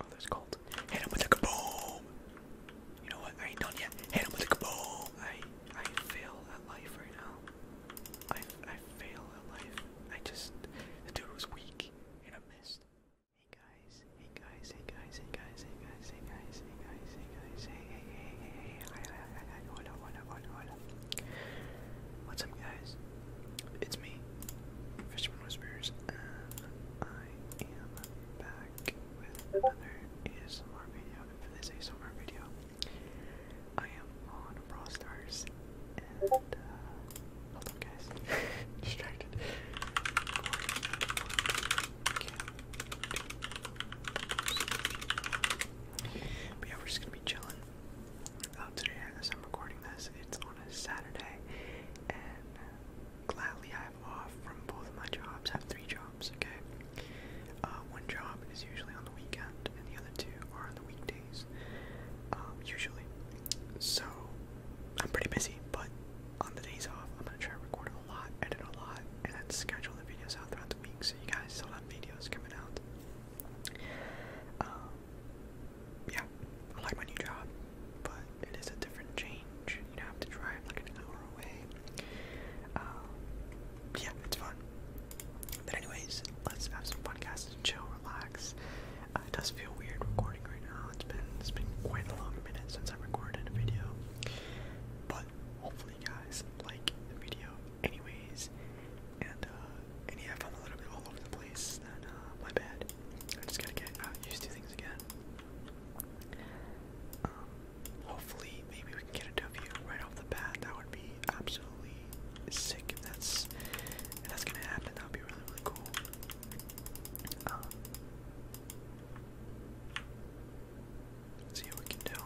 Oh, there's gold. Hit with the kaboom! You know what? I ain't done yet. Hit with the kaboom! I I fail at life right now. I I fail at life. I just the dude was weak and I missed. Hey guys, hey guys, hey guys, hey guys, hey guys, hey guys, hey hey hey hey hey hey hey hey hey hey hey hey it's me, Fisherman Whispers, and I am back with another ASMR video. for this ASMR video, I am on Brawl Stars, and uh, hold on, guys, distracted. But yeah, we're just gonna be chilling. Oh, today, as I'm recording this, it's on a Saturday, and gladly I have off from both of my jobs. I have three jobs, okay? Uh, one job is usually on the weekend, and the other two are on the weekdays, um, usually. So, I'm pretty busy, but on the days off, I'm gonna try to record a lot, edit a lot, and then schedule the videos out throughout the week, so you guys still have videos coming out. Um, yeah, I like my new job, but it is a different change. You know, I have to drive like an hour away. Um, yeah, it's fun. But anyways, let's have some podcasts chill, relax. Uh, it does feel weird recording right now. It's been it's been quite a long minute since I recorded a video, but hopefully guys like the video, anyways. And uh, and yeah, I'm a little bit all over the place, uh, my bad. I just gotta get uh, used to things again. Um, hopefully, maybe we can get a W right off the bat. That would be absolutely sick. If that's that's gonna happen, that would be really really cool. Um, see what we can do.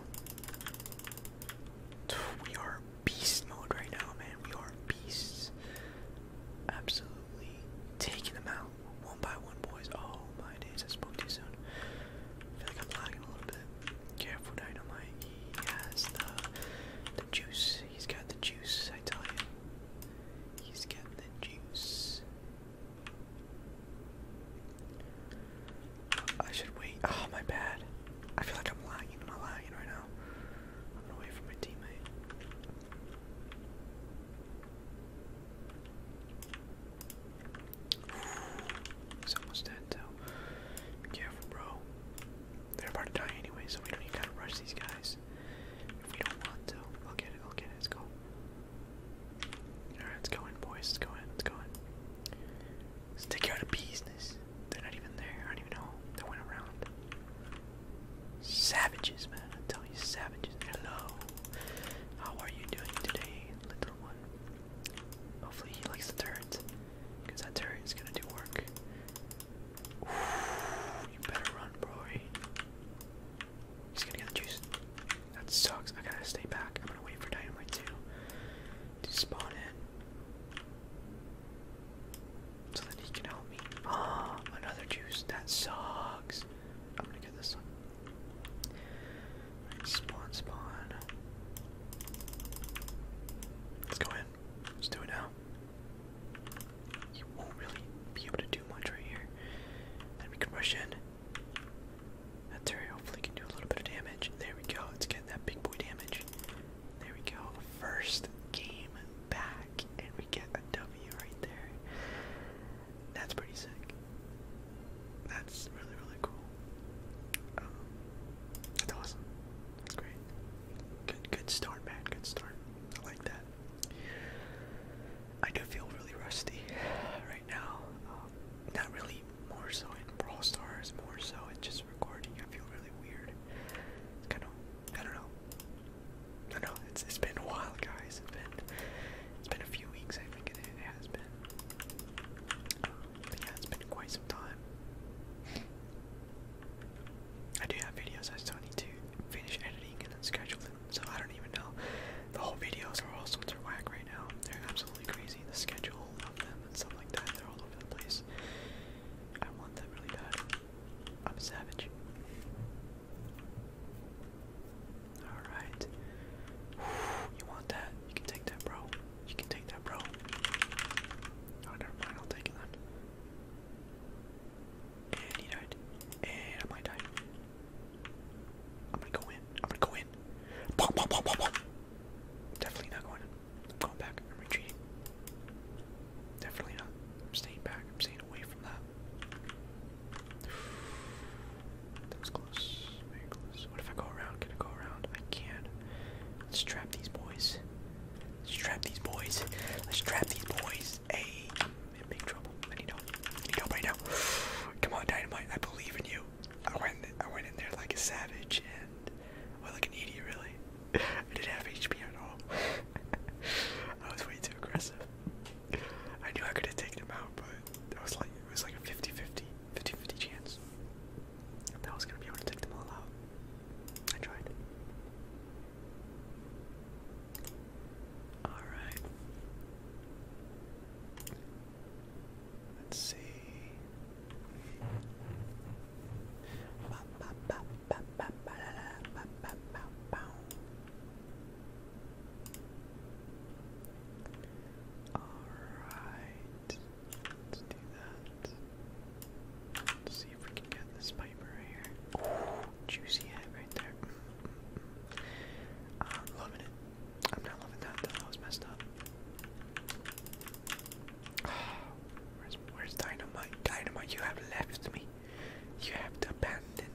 We are beast mode right now, man. We are beasts. Absolutely taking them out one by one, boys. Oh my days, I spoke too soon. I feel like I'm lagging a little bit. Careful, Dynamite. He has the, the juice. He's got the juice, I tell you. He's got the juice. I should wait. Oh, my bad. I feel like I'm lagging. Am I lagging right now? I'm gonna wait for my teammate. He's almost dead though. Be careful, bro. They're about to die anyway, so we don't even gotta rush these guys. If we don't want to. I'll get it, I'll get it, let's go. Alright, let's go in, boys, let's go in, let's go in. Let's take care of the business. They're not even there. I don't even know. They went around. Savages, man. tell you, savages. Hello. How are you doing today, little one? Hopefully he likes the turret. Because that turret is gonna do work. you better run, bro. He's gonna get the juice. That sucks. I gotta stay back. I'm gonna wait for dynamite too to spawn in. So that he can help me. Ah, oh, another juice. That sucks. I'm gonna get this one. Right, spawn, spawn. Let's go in. Let's do it now. You won't really be able to do much right here. Then we can rush in. That Terry hopefully can do a little bit of damage. There we go. Let's get that big boy damage. There we go. First game back, and we get a W right there. That's pretty sick. That's really, really cool. Um, that's awesome. That's great. Good, good start, man. Good start. I like that. I do feel really rusty right now. Um, not really more so in Brawl Stars, more so in just recording. I feel really weird. kind of, I don't know. I know. It's it's been a while, guys. It's been it's been a few weeks. I think it, has been. yeah, it's been quite some time. I do have videos. I still need to finish editing and then schedule them. So I don't even know. The whole videos are all sorts of whack right now. They're absolutely crazy. The schedule of them and stuff like that. They're all over the place. I want that really bad. I'm a savage. Alright. You want that? You can take that, bro. You can take that, bro. Oh, never mind. I'll take it then. And he died. And I might die. I'm gonna go in. I'm gonna go in. Definitely not going. I'm going back. I'm retreating. Definitely not. I'm staying back. I'm staying away from that. That was close. What if I go around? Can I go around? I can. Let's trap these boys. Let's trap these boys. Let's trap these boys. Hey, I'm in big trouble. I need help. need help right now. Come on, Dynamite. I believe in you. I went, I went in there like a savage and I was like an idiot, really. I didn't have HP at all. I was way too aggressive. I knew I could have taken him out, but I was like, it was like a 50-50, 50-50 chance that was gonna be able to take them all out. I tried. All right. Let's see. Alright. Let's do that. see if we can get this pipe here. juicy head right there. Mm, mm, mm. loving it. I'm not loving that that was messed up. Where's, where's dynamite? Dynamite, you have left me. You have to abandon,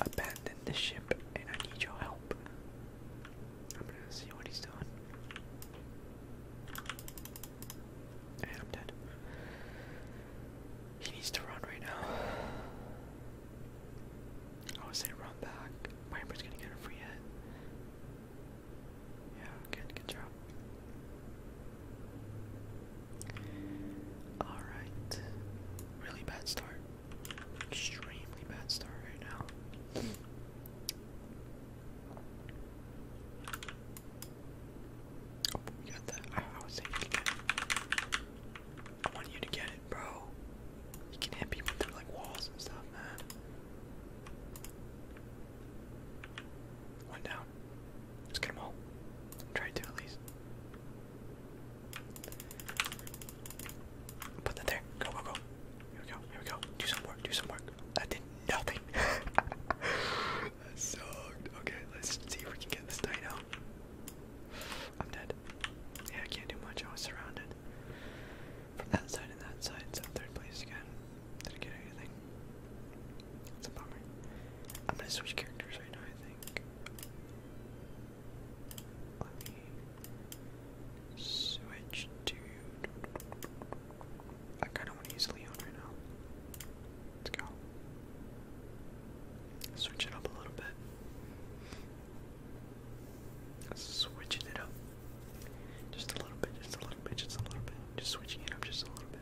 abandon the ship, and I need your help. I'm gonna see what he's doing. And I'm dead. He needs to run right now. Oh, I would say run back. Piper's gonna get a free hit. Yeah, good, good job. Alright. Really bad start. Extremely bad start right now. Oh, we got that. I, was saying you get I want you to get it, bro. You can hit people through like walls and stuff, man. One down. Let's get them all. Try to at least. Put that there. Go, go, go. Here we go. Here we go. Do some work. Do some work. That did nothing. sucked. Okay, let's see if we can get this night I'm dead. Yeah, I can't do much. I was surrounded from that side and that side, so third place again. Didn't get anything. It's a bummer. I'm gonna switch characters right now, I think. switch to. I kind of want to use Leon right now. Let's go. Switch it up a little bit. Switching it up. Just a little bit, just a little bit, just a little bit. Just switching it up just a little bit.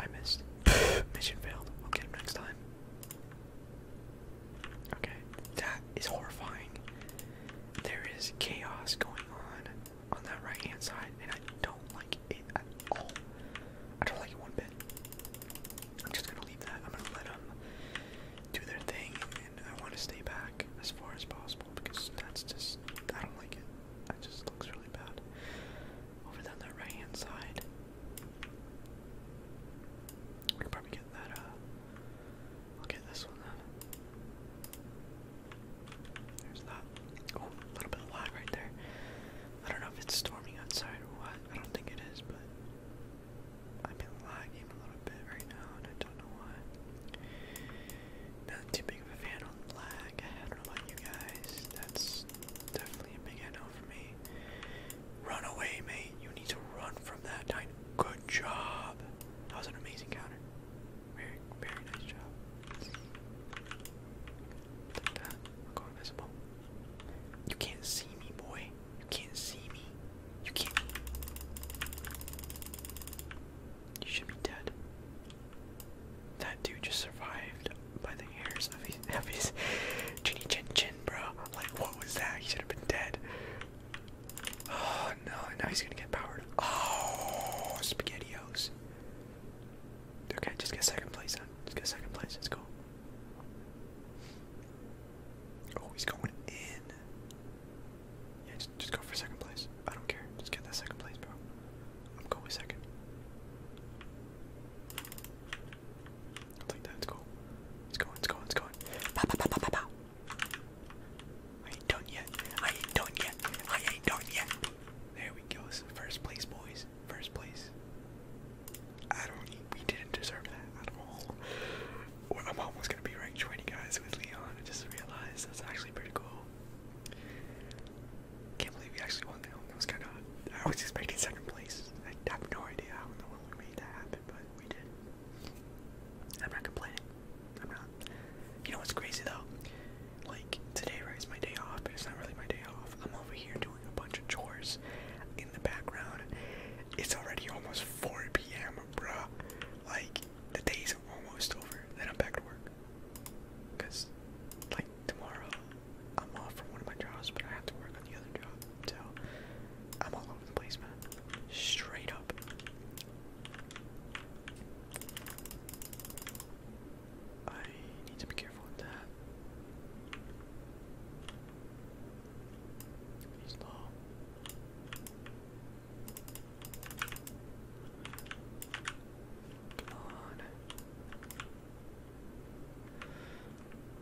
I missed. Mission failed. we next time. Okay, that is horrifying. There is chaos going on on that right hand side, and I don't like it at all. I don't like it one bit. I'm just gonna leave that. I'm gonna let them do their thing, and I want to stay back as far as possible because that's just I don't like it. That just looks really bad. Over there on that right hand side, we could probably get that. Uh, I'll get this one then. There's that. Oh, a little bit of lag right there. I don't know if it's storming outside or what. I don't think it is, but I've been lagging a little bit right now, and I don't know why. Not too big of a fan on lag. I don't know you guys. That's definitely a big no for me. Run away, mate. You need to run from that dino. Good job. That was an amazing counter. Very, very nice job. I'll go invisible. You can't see me, boy. You can't see me. You can't. You should be dead. That dude just survived by the hairs of his, of his chinny chin chin, bro. Like, what was that? He should have been dead. Oh no, now he's gonna get powered. Oh, SpaghettiOs. Okay, just get second place then. Just get second place. Let's go. Oh, he's going in. Yeah, just, just go for second place. I don't care. Just get that second place, bro. I'm going second. I'll that. It's cool. It's going, it's going, it's going. I ain't done yet. I ain't done yet. I ain't done yet. There we go. This first place, boys. First place. I don't. We didn't deserve that at all. Or I'm almost gonna be rank 20 guys with Leon. I just realized that's actually pretty cool. Can't believe we actually won that. That was kind of. I was expecting second place. I have no idea how in the world we made that happen, but we did. I'm not complaining. I'm not. You know what's crazy though? like today, right, is my day off, but it's not really my day off. I'm over here doing a bunch of chores in the background. It's already almost 4 p.m., bruh. Like, the day's almost over. Then I'm back to work. Because, like, tomorrow I'm off from one of my jobs, but I have to work on the other job. So, I'm all over the place, man. Straight up. I need to be careful with that. He's low.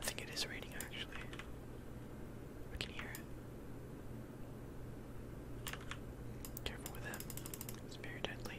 I think it is raining actually. I can hear it. Careful with him. It's very deadly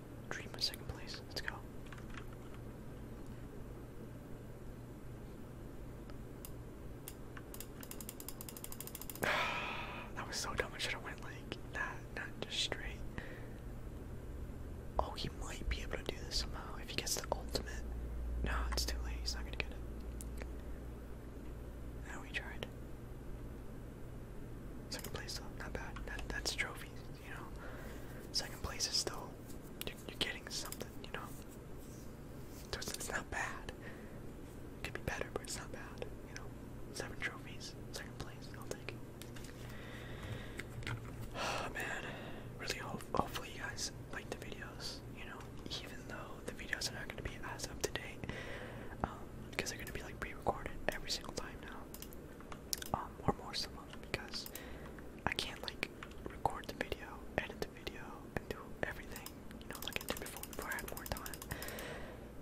Dream of second place. Let's go. that was so dumb. should have went like that, not just straight. Oh, he might be able to do this somehow if he gets the ultimate. No, it's too late. He's not gonna get it. Now we tried. Second place not bad. that's trophies you know, second place is still you're, getting something, you know. it's, not bad. It could be better, but it's not bad, you know. Seven trophies, second place, I'll take it. Oh man, really hope hopefully you guys like the videos, you know, even though the videos are not gonna be as up to date, um, because they're gonna be like pre-recorded every single time now. Um, or more so because I can't like record the video, edit the video, and do everything, you know, like I did before before I had more time.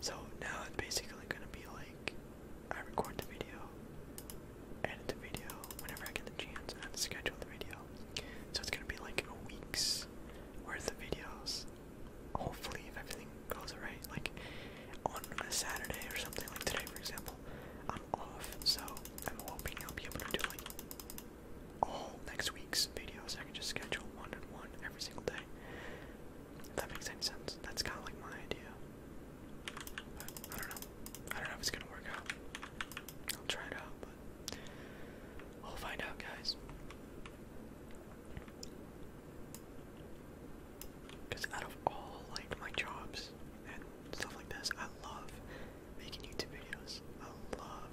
So now it's basically gonna be like I record the video, edit the video whenever I get the chance and I schedule the video. So it's gonna be like week's worth of videos. Hopefully if everything goes right, like on a Saturday or something like today for example, I'm off, so I'm hoping I'll be able to do like all next week's videos. I can just schedule one and one every single day. If that makes any sense. That's kind of like my idea. I don't know. I don't know if it's gonna work out. I'll try it out, but we'll find out, guys. Because out of all like my jobs and stuff like this, I love making YouTube videos. I love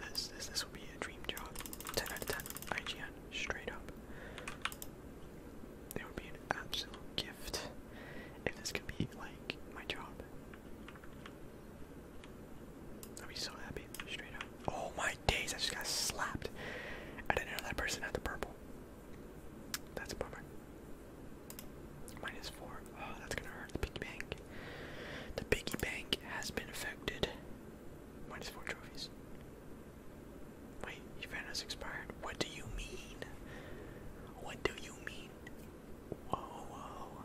this. This this would be a dream job. Ten out of ten. IGN straight up. It would be an absolute gift if this could be like my job. I'd be so happy. Straight up. Oh my days! I just got slapped. I didn't know that person had the purple. That's a bummer. Minus four. Oh, that's gonna hurt the piggy bank. The piggy bank has been affected. Minus four trophies. Wait, your fan has expired. What do you mean? What do you mean? Whoa, whoa.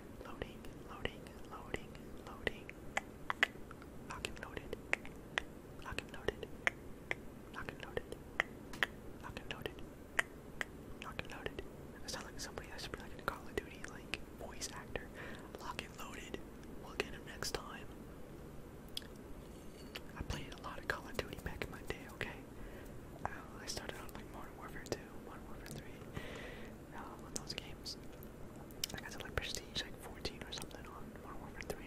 Loading, loading, loading, loading. Lock and loaded. Lock and loaded. Lock and loaded. Lock and loaded. Lock and loaded. I sound like somebody that should be like in Call of Duty, like voice actor. Lock and loaded. We'll get him next time. I played a lot of Call of Duty back in my day, okay? Um, I started on like Modern Warfare 2, Modern Warfare 3, um, those games. Like I said, like Prestige, like 14 or something on Modern Warfare 3.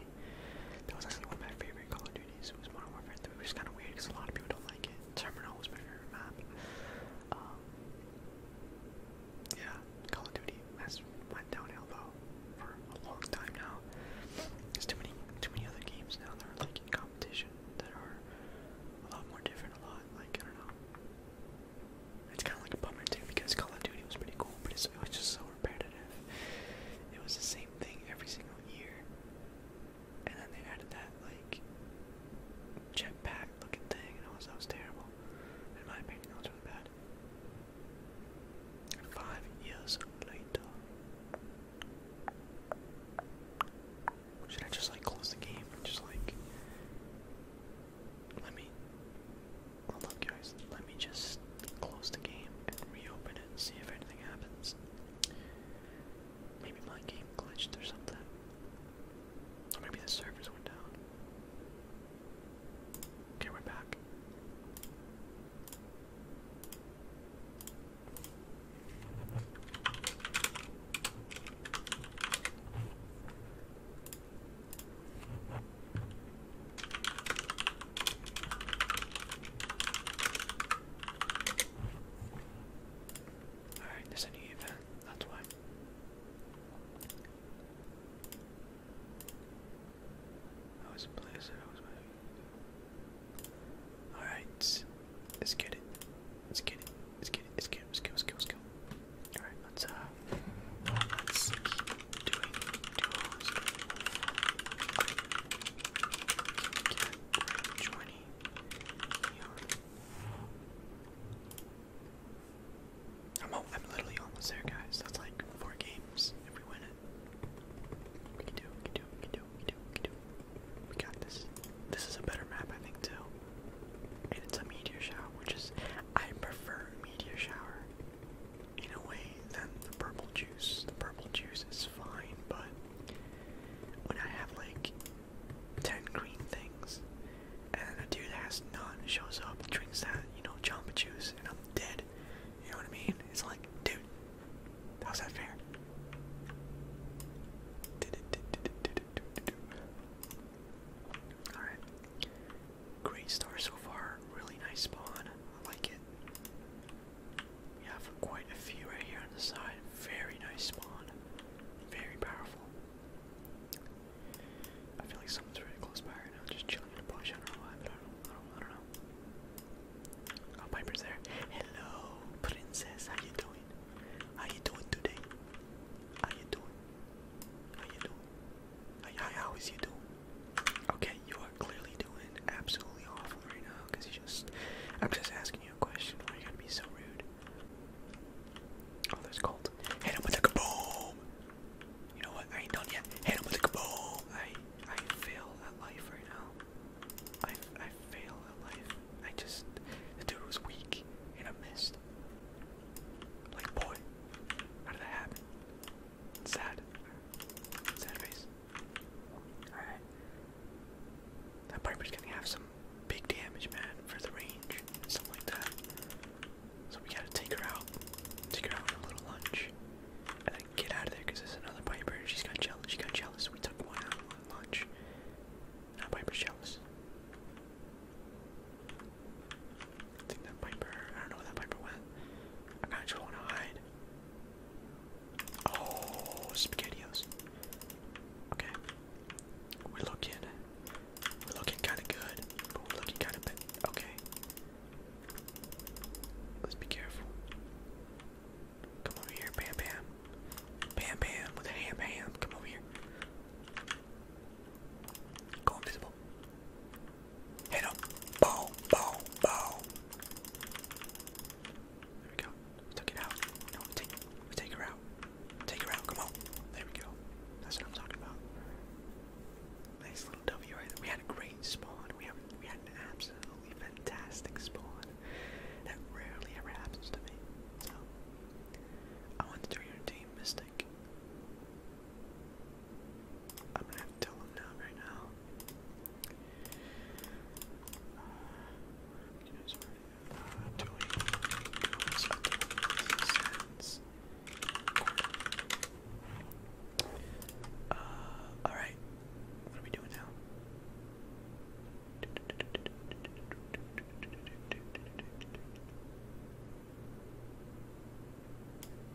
That was actually one of my favorite Call of Duties, was Modern Warfare 3, which is kind of weird because a lot of people don't like it. Terminal was my favorite map. Um, yeah, Call of Duty has went downhill though for a long time now. There's too many, too many other games now that are like in competition that are a lot more different, a lot like I don't know. It's kind of like a bummer too because Call of Duty was pretty cool, but it was just so repetitive. It was the same thing every single year, and then they added that like jetpack looking thing, and it was that was terrible. In my opinion, that was really bad. Five years later. Should I just like close the game just like let me. guys. Let me just close the game and reopen it and see if anything happens. Maybe my game glitched or something. Or maybe the servers went down. Okay, we're back. Alright, there's a new event, that's why. I was blizzard, I was Alright, let's get it. Let's get it. Let's get it. Let's get it. Let's go. Let's go. Let's go. All right. Let's uh. Let's keep doing duos. Okay. Get right joining here. I'm, all, I'm literally almost there, guys. That's like four games if we win it. We can do it, we can do it, we can do it, we can do it. We got this. This is a better map, I think, too and it's a meteor shower, which is I prefer meteor shower in a way than the purple juice. The purple juice is fine, but when I have like ten green things and a dude that has none shows up, drinks that, you know, jamba juice, and I'm dead. You know what I mean? It's like, dude, how's that fair? Alright. Great start so far. Really nice spawn. I like it. We have quite a few right here on the side. Very nice spawn. Very powerful. I feel like someone's really close by right now, just chilling in a bush. I don't know I don't know. Oh, Piper's there. Hello, princess. How you doing? How you doing today? How you doing? How you doing? how is you doing? Okay, you are clearly doing absolutely awful right now because you just. I'm just asking you a question. Why you gotta be so rude? Oh, there's cold. Hit him with a kaboom! You know what? I ain't done yet. Hit him with a kaboom! I I fail at life right now. I I fail at life. I just the dude was weak and I missed. Like, boy, how did that happen? Sad. Sad face. Alright. That Piper's gonna have some big damage, man, for the range and stuff like that. So we gotta take her out. Take her out for a little lunch. And then get out of there because there's another Piper. She's got jealous. She got jealous. We took one out at lunch. Now Piper's jealous think that Piper, I don't know where that Piper went. I kinda just wanna hide. Oh, SpaghettiOs. Okay. We're looking, we're looking kinda good, but we're looking kinda bad. Okay. Let's be careful. Come over here, bam bam. Bam bam with a ham ham. Come over here. Go invisible. Hit him. Bow, bow, bow. There we go. took it out. No, we we take her out. Take her out. Come on. There we go. That's what I'm talking about. Nice little W We had a great spawn. We had an absolutely fantastic spawn. That rarely ever happens to me. I want to do your team, Mystic. I'm gonna have to tell him down right now. Uh, doing goes up Uh, all right. What are we doing now?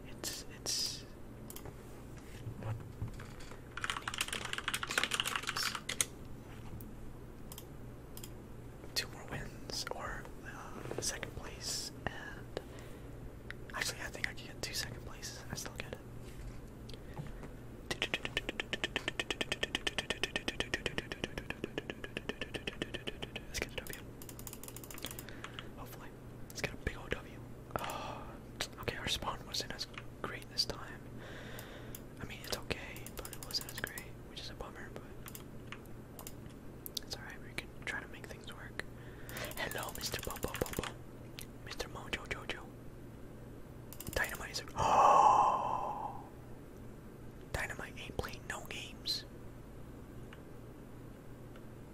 It's it's Two more wins or uh, second place, and actually, I think I can get two second places. I still get good. Let's get a W. Hopefully. Let's get a big O W. okay, our spawn wasn't as great this time. I mean, it's okay, but it wasn't as great, which is a bummer, but it's alright. We can try to make things work. Hello, Mr. Bobo Bobo. Mr. Mojo Jojo. Dynamite Oh! Dynamite ain't playing no games.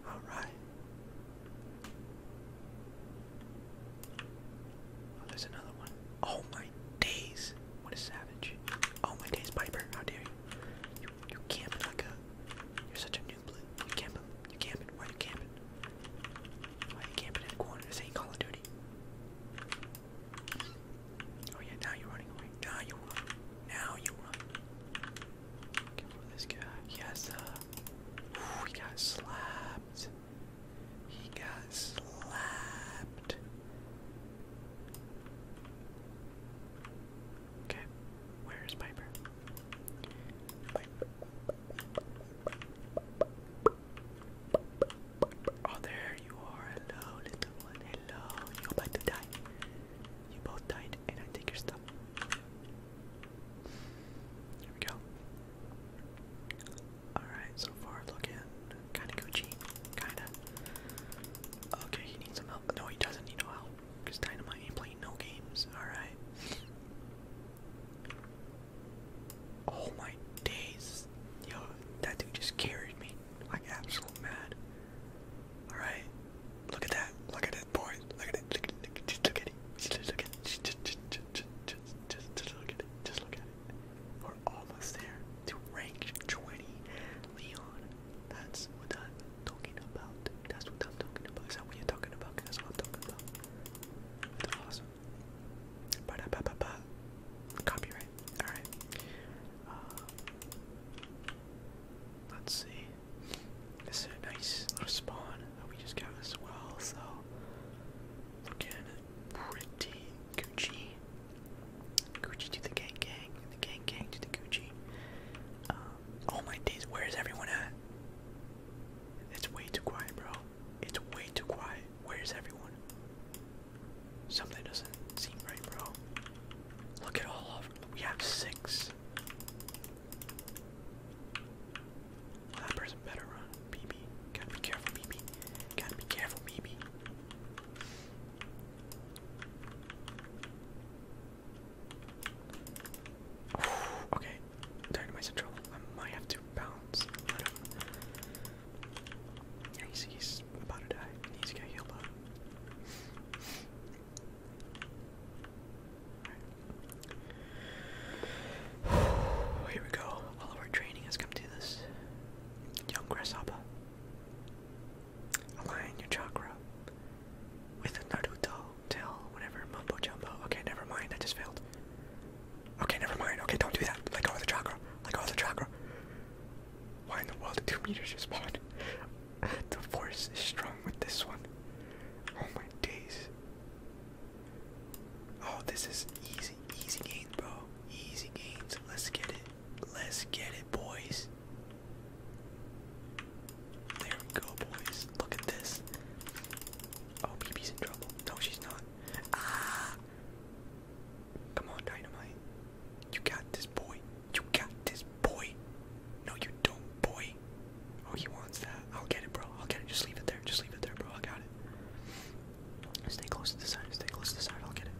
Alright. Oh, there's another one. Oh my days. What a savage. Oh my days, Piper. How dare you? You, you camping like a... You're such a noob. You camping. You camping. Why you camping? Why you camping in a corner? This ain't Call of Duty. Oh yeah, now you're running away. Now you run. Now you run. Get this guy. He has uh, got slapped. He got slapped. Okay, where's Piper. Oh, there you are. Hello, little Hello. You're about to die. You both died, and I take your stuff. Here we go. Alright, so far looking kinda Gucci. Kinda. Okay, he needs some help. No, he doesn't need no help. Because Dynamite ain't playing no games. Alright. Oh my days. Yo, that dude just carried me. Like absolute mad. Alright. Look at that. Look at it, boys. Look at it. Look at it. Just look at it. Just look at it. Just, look at it. Just look at it. We're almost there to rank 20. Leon. That's what I'm talking about. That's what I'm talking about. Is what you're talking about? That's what I'm talking about. awesome. Ba -da -ba -ba Copyright. Alright. Um, let's see. This is a nice little spawn that we just got as well, so looking pretty Gucci. Gucci to the gang gang, the gang gang to the Gucci. Um, my days, where is everyone at? It's way too quiet, bro. It's way too quiet. Where's everyone? Something doesn't seem right, bro. Look at all of we have six. that person better run, BB. Gotta be careful, BB. Gotta be careful, BB. okay, Dynamite's in trouble. I might have to bounce. But, he's about to die. needs to get healed up. Here we go. All of our training has come to this. Young grasshopper. Align your chakra with Naruto tell whatever mumbo jumbo. Okay, never mind. I just failed. Okay, never mind. Okay, don't do that. Let go of the chakra. Let go of the chakra. Why in the world did two meters just spawn? the force is strong with this one. Oh my days. Oh, this is easy, easy gains, bro. Easy gains. Let's get it. Let's get it, boys. There we go, boys. Look at this. Oh, BB's in trouble. No, she's not. Ah! Come on, Dynamite. You got this, boy. You got this, boy. No, you don't, boy. Oh, he wants that. I'll get it, bro. I'll get it. Just leave it there. Just leave it there, bro. I got it. Stay close to the side. Stay close to the side. I'll get it.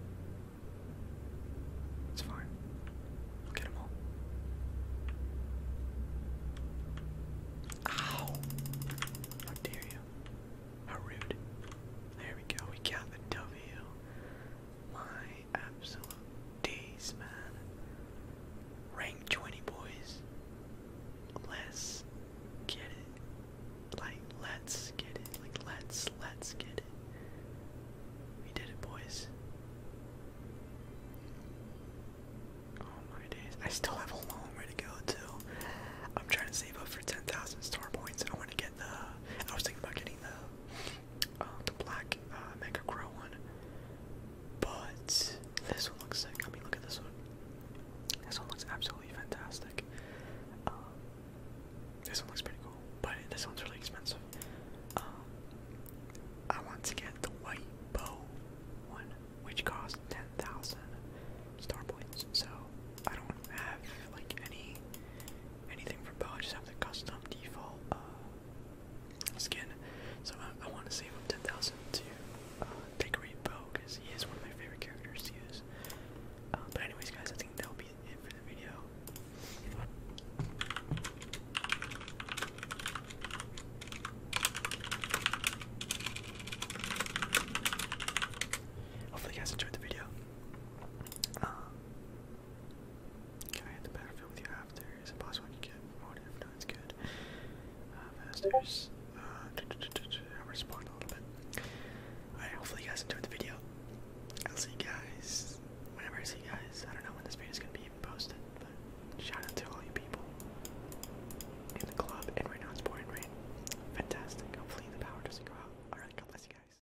It's fine. I'll get them all. Ow! How you? How rude. There we go. We got the W. My absolute days, man. Rank 20, boys. Let's get it. Like, let's get it. Like, let's, let's get it. We did it, boys. Oh my days. I still have a long way to go, too. I'm trying to save up for 10,000 star points. I want to get the. I was thinking about getting the Oh, the black uh, Mega Crow one. But this one looks I mean, look at this one. This one looks absolutely fantastic. Um, this one looks pretty cool, but this one's really expensive. Um, I want to get the white bow one, which costs 10,000 star points. So I don't have like any anything for Bo. I just have the custom default uh, skin. So I, want to save up 10,000 to uh, take decorate Bo because he is one of my favorite characters to use. Uh, but anyways, guys, I think that'll be it for the video. Hopefully you guys enjoyed the video. Can I hit the battlefield with you after? Is it possible to can get motive? No, it's good. Uh, Masters. Uh, I'm responding a little bit. Alright, hopefully you guys enjoyed the video. I'll see you guys whenever I see you guys. I don't know when this video is going to be even posted, shout out to all you people in the club. And right now it's pouring rain. Fantastic. Hopefully the power doesn't go out. Alright, God bless you guys.